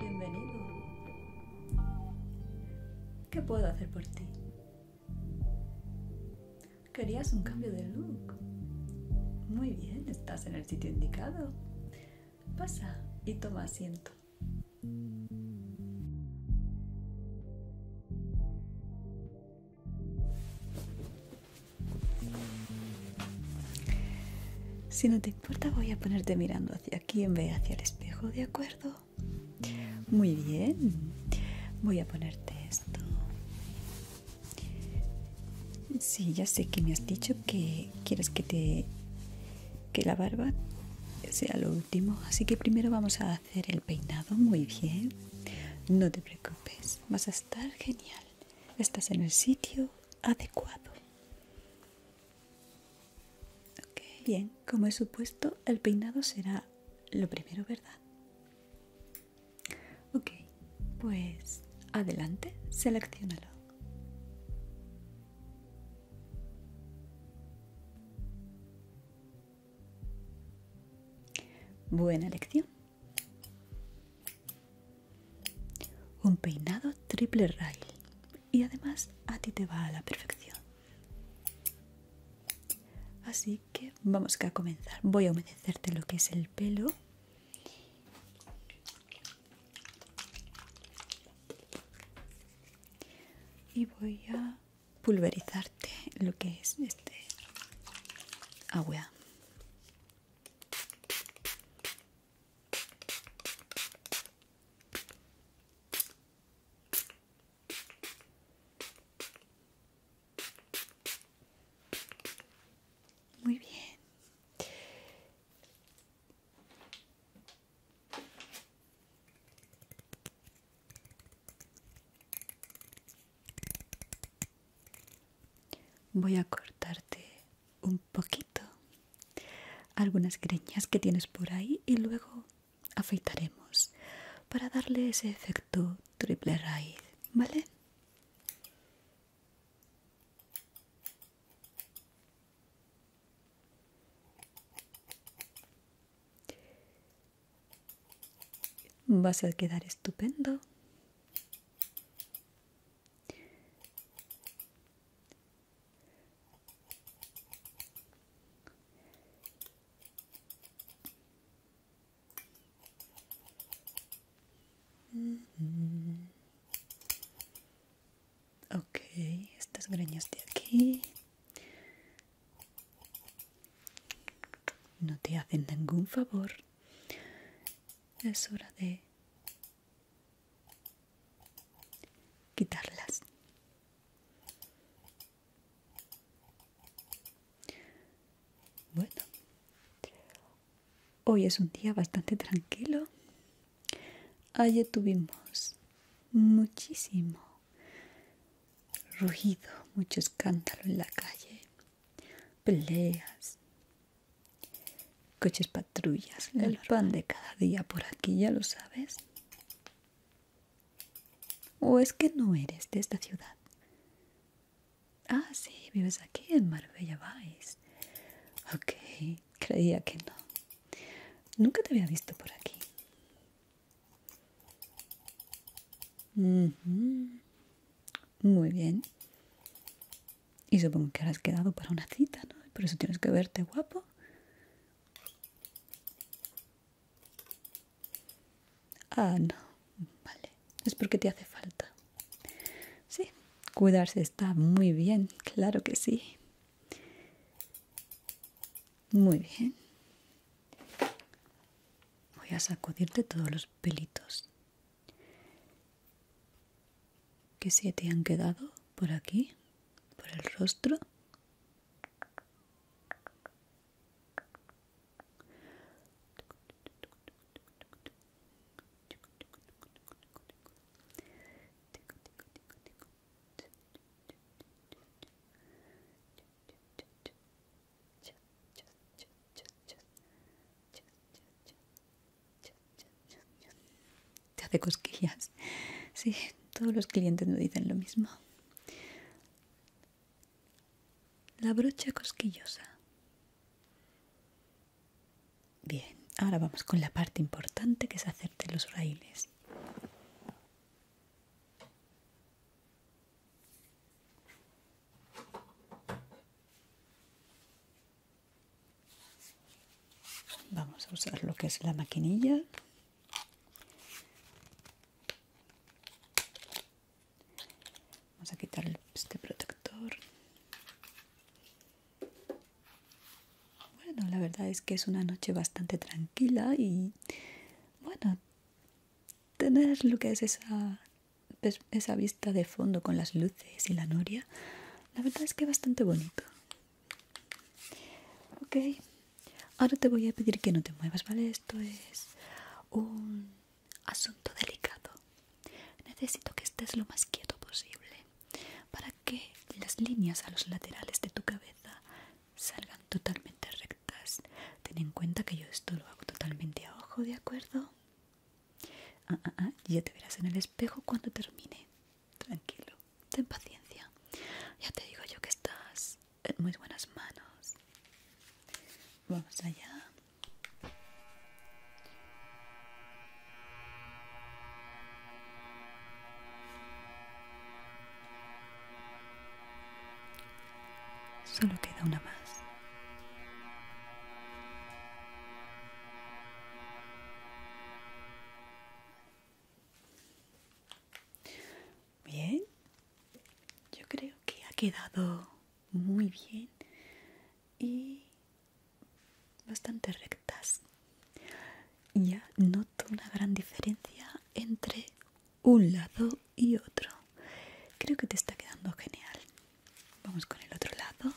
Bienvenido. ¿Qué puedo hacer por ti? Querías un cambio de look. Muy bien, estás en el sitio indicado. Pasa y toma asiento. Si no te importa, voy a ponerte mirando hacia aquí en vez de hacia el espejo, ¿de acuerdo? Muy bien. Voy a ponerte esto. Sí, ya sé que me has dicho que quieres que te que la barba sea lo último, así que primero vamos a hacer el peinado. Muy bien. No te preocupes, vas a estar genial. Estás en el sitio adecuado. bien. Como he supuesto, el peinado será lo primero, ¿verdad? Ok, pues adelante, seleccionalo. Buena elección. Un peinado triple rail y además a ti te va a la perfección. Así que vamos a comenzar. Voy a humedecerte lo que es el pelo. Y voy a pulverizarte lo que es este agua. Muy bien. Voy a cortarte un poquito algunas greñas que tienes por ahí y luego afeitaremos para darle ese efecto triple raíz, ¿vale? Vas a quedar estupendo. Ok, estas greñas de aquí no te hacen ningún favor. Es hora de quitarlas. Bueno, hoy es un día bastante tranquilo. Ayer tuvimos muchísimo ruido, mucho escándalo en la calle, peleas, coches patrullas, el pan de cada día por aquí, ya lo sabes. ¿O es que no eres de esta ciudad? Ah, sí, vives aquí en Marbella Vice. Ok, creía que no. Nunca te había visto por aquí. Muy bien. Y supongo que quedado para una cita, ¿no? Por eso tienes que verte guapo. Ah, no, vale. Es porque te hace falta. Sí, cuidarse está muy bien, claro que sí. Muy bien. Voy a sacudirte todos los pelitos que se te han quedado por aquí, por el rostro. Te hace cosquillas. Sí, todos los clientes me dicen lo mismo. La brocha cosquillosa. Bien, ahora vamos con la parte importante que es hacerte los raíles. Vamos a usar lo que es la maquinilla Vamos a quitar este protector. Bueno, la verdad es que es una noche bastante tranquila y bueno, tener lo que es esa, esa vista de fondo con las luces y la noria, la verdad es que es bastante bonito. Ok, Ahora te voy a pedir que no te muevas, ¿vale? Esto es un asunto delicado. Necesito que estés lo más quieto posible para que las líneas a los laterales de tu cabeza salgan totalmente rectas. Ten en cuenta que yo esto lo hago totalmente a ojo, ¿de acuerdo? Ah, ah, ah, ya te verás en el espejo cuando termine. Tranquilo ten paciencia. Ya te digo yo que estás en muy buenas manos. Vamos allá. Solo queda una más. Bien, yo creo que ha quedado muy bien y bastante rectas. Ya noto una gran diferencia entre un lado y otro. Creo que te está quedando genial. Vamos con el otro lado.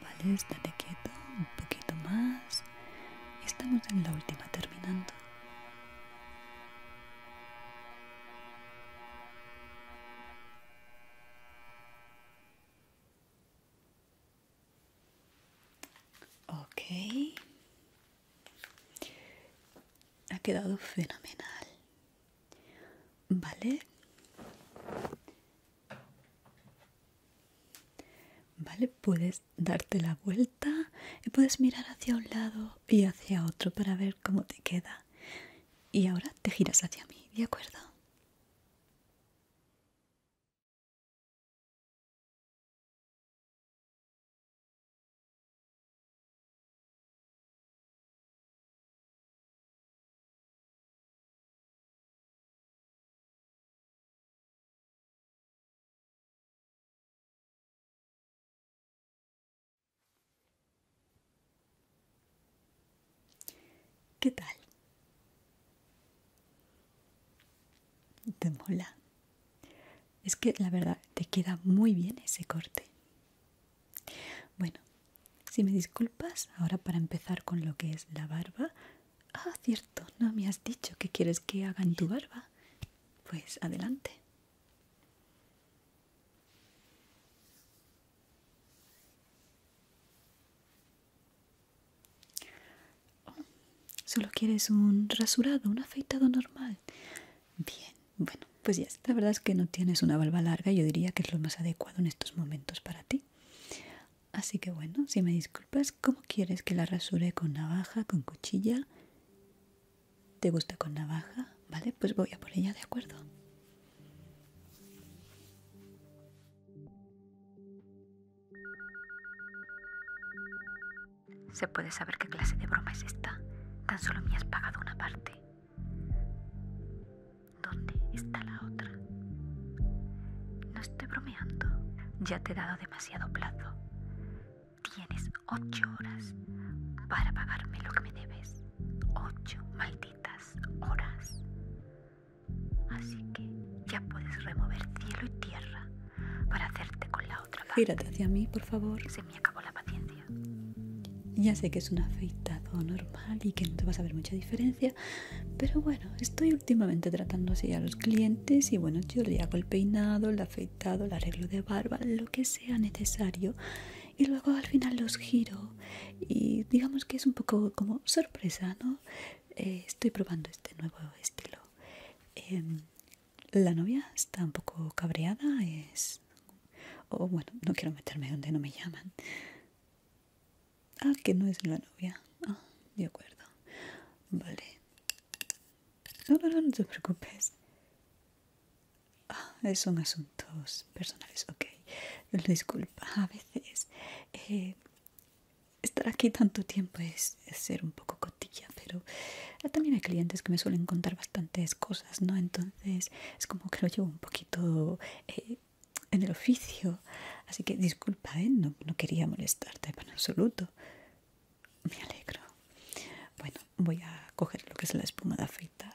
Vale, estate quieto un poquito más. Estamos en la última terminando. Ok. Ha quedado fenomenal. ¿Vale? ¿Vale? Puedes darte la vuelta y puedes mirar hacia un lado y hacia otro para ver cómo te queda. Y ahora te giras hacia mí, ¿de acuerdo? ¿Qué tal? Te mola. Es que la verdad te queda muy bien ese corte. Bueno, si me disculpas, ahora para empezar con lo que es la barba. Ah, cierto, no me has dicho que quieres que hagan tu barba. Pues adelante solo quieres un rasurado, un afeitado normal. Bien, bueno, pues ya. La verdad es que no tienes una barba larga. Yo diría que es lo más adecuado en estos momentos para ti. Así que bueno, si me disculpas, ¿cómo quieres que la rasure con navaja, con cuchilla? ¿Te gusta con navaja? Vale, pues voy a por ella, ¿de acuerdo? ¿Se puede saber qué clase de broma es esta? Tan solo me has pagado una parte. ¿Dónde está la otra? No estoy bromeando. Ya te he dado demasiado plazo. Tienes ocho horas para pagarme lo que me debes. Ocho malditas horas. Así que ya puedes remover cielo y tierra para hacerte con la otra parte. Gírate hacia mí, por favor. Se me acabó la paciencia. Ya sé que es un afeitado normal y que no te vas a ver mucha diferencia, pero bueno, estoy últimamente tratando así a los clientes y bueno, yo le hago el peinado, el afeitado, el arreglo de barba, lo que sea necesario y luego al final los giro y digamos que es un poco como sorpresa, ¿no? Eh, estoy probando este nuevo estilo. Em, la novia está un poco cabreada, es... bueno, no quiero meterme donde no me llaman. Ah, que no es la novia. Ah, de acuerdo. Vale. No, no, no, no te preocupes. Ah, son asuntos personales, ok. Disculpa, a veces eh, estar aquí tanto tiempo es, ser un poco cotilla, pero también hay clientes que me suelen contar bastantes cosas, ¿no? Entonces es como que lo llevo un poquito eh, en el oficio, así que disculpa, ¿eh? no, no quería molestarte en absoluto. Me alegro. Bueno, voy a coger lo que es la espuma de afeitar.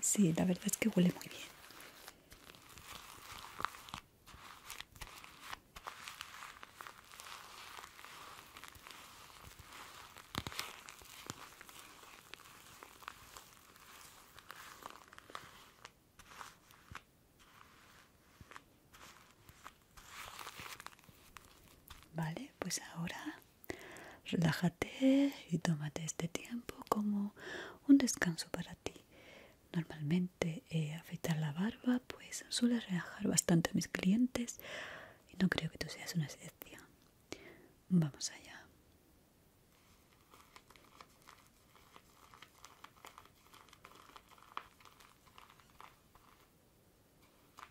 Sí, la verdad es que huele muy bien. Vale, pues ahora relájate y tómate este tiempo como un descanso para ti. Normalmente eh, afeitar la barba pues suele relajar bastante a mis clientes y no creo que tú seas una excepción. Vamos allá.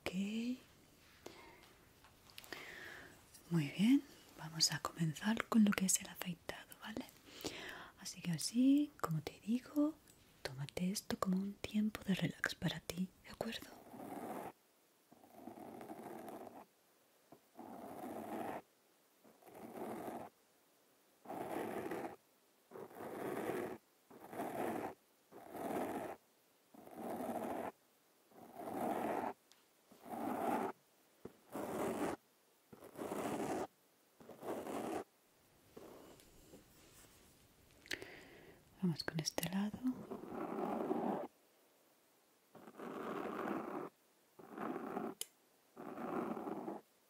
Ok. Muy bien, vamos a comenzar con lo que es el afeitado, ¿vale? Así que así, como te digo, tómate esto como un tiempo de relax para ti, ¿de acuerdo? Vamos con este lado.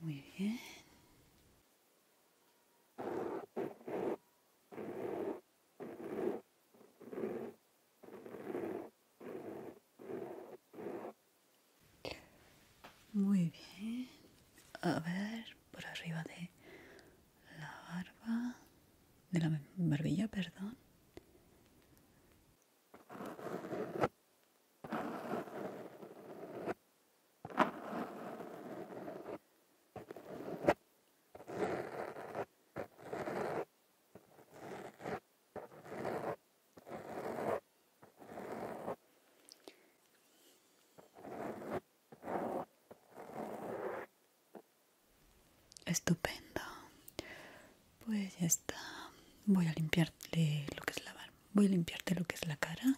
Muy bien. Muy bien. A ver, por arriba de la barba, de la barbilla, perdón. Estupendo. Pues ya está. Voy a limpiarte lo que es la barba. Voy a limpiarte lo que es la cara.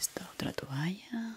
esta otra toalla.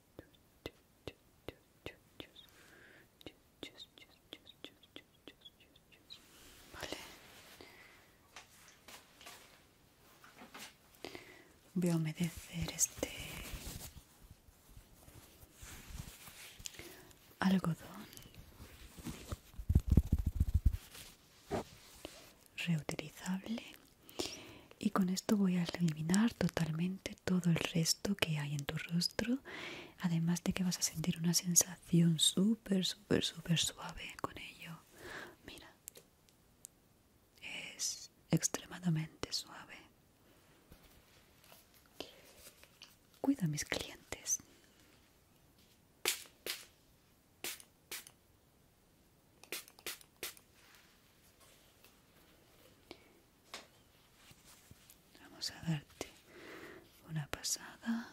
Vale. Voy a humedecer este algodón. Reutilizable. Y con esto voy a eliminar totalmente todo el resto que hay en tu rostro además de que vas a sentir una sensación súper súper súper suave con ello mira es extremadamente suave Cuida a mis clientes Vamos a darte una pasada.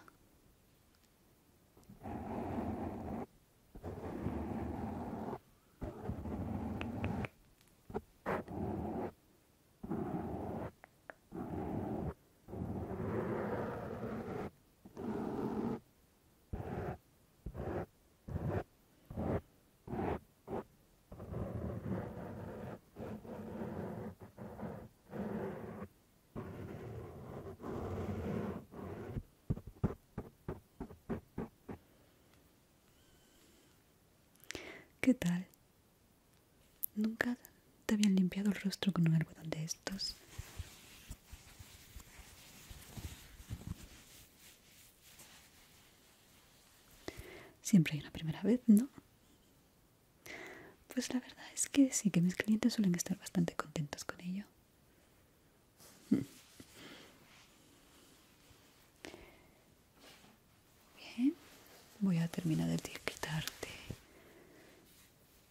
¿Qué tal? ¿Nunca te habían limpiado el rostro con un algodón de estos? Siempre hay una primera vez, ¿no? Pues la verdad es que sí, que mis clientes suelen estar bastante contentos con ello. Bien, voy a terminar de quitarte.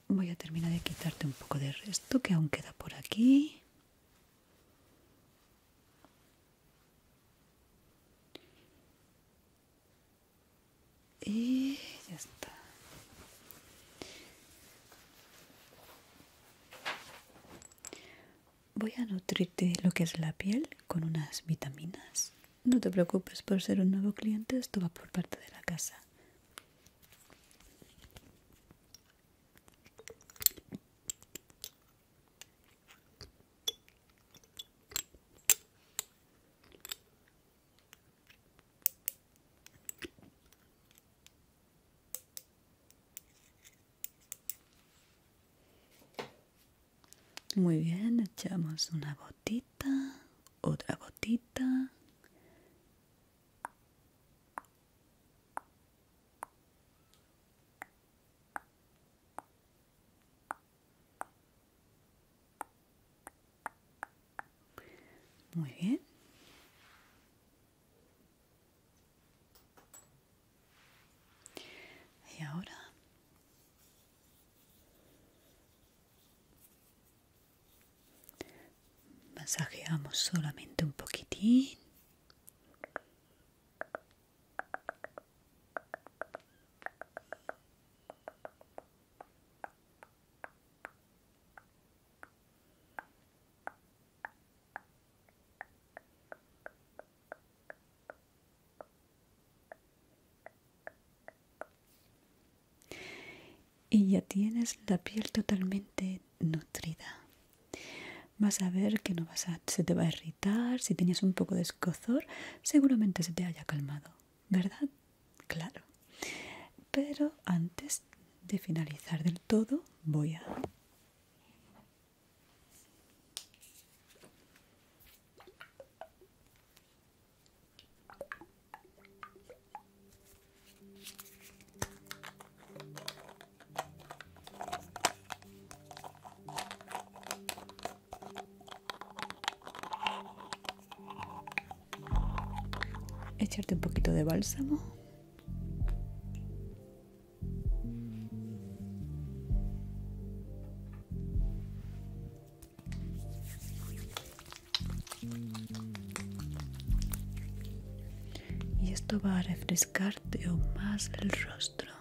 Voy a terminar de quitarte un poco de resto que aún queda por aquí. Y ya está. Voy a nutrirte lo que es la piel con unas vitaminas. No te preocupes por ser un nuevo cliente, esto va por parte de la casa. Muy bien, echamos una botita, otra botita. Muy bien. Y ahora masajeamos solamente un poquitín y ya tienes la piel totalmente nutrida. Vas a ver que no vas a se te va a irritar, si tenías un poco de escozor, seguramente se te haya calmado, ¿verdad? Claro. Pero antes de finalizar del todo, voy a... Echarte un poquito de bálsamo. Y esto va a refrescarte aún más el rostro.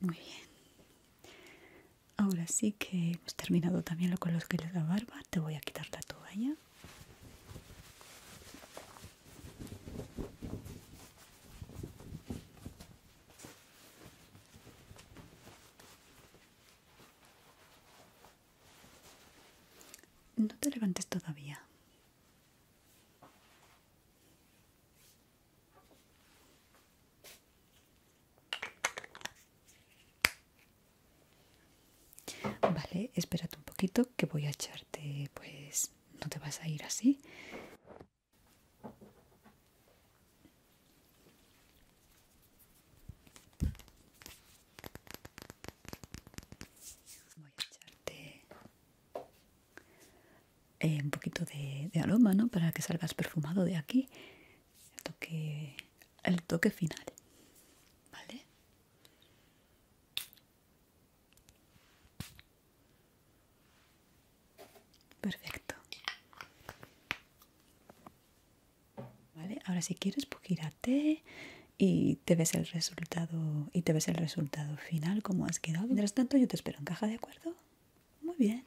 Muy bien. Ahora sí que hemos terminado también lo con los que de da barba. Te voy a quitar la toalla. No te levantes todavía. Vale, espérate un poquito que voy a echarte pues no te vas a ir así. Voy a echarte eh, un poquito de, de aroma, ¿no? Para que salgas perfumado de aquí. El toque, el toque final, ¿vale? Perfecto. Vale, ahora si quieres pues gírate y te ves el resultado y te ves el resultado final como has quedado. Mientras tanto yo te espero en caja, ¿de acuerdo? Muy bien.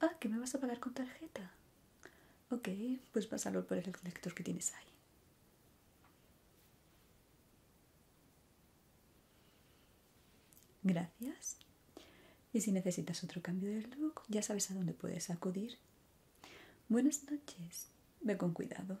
Ah, que me vas a pagar con tarjeta. Ok, pues pásalo por el lector que tienes ahí. Gracias. Y si necesitas otro cambio de look, ya sabes a dónde puedes acudir. Buenas noches. Ve con cuidado.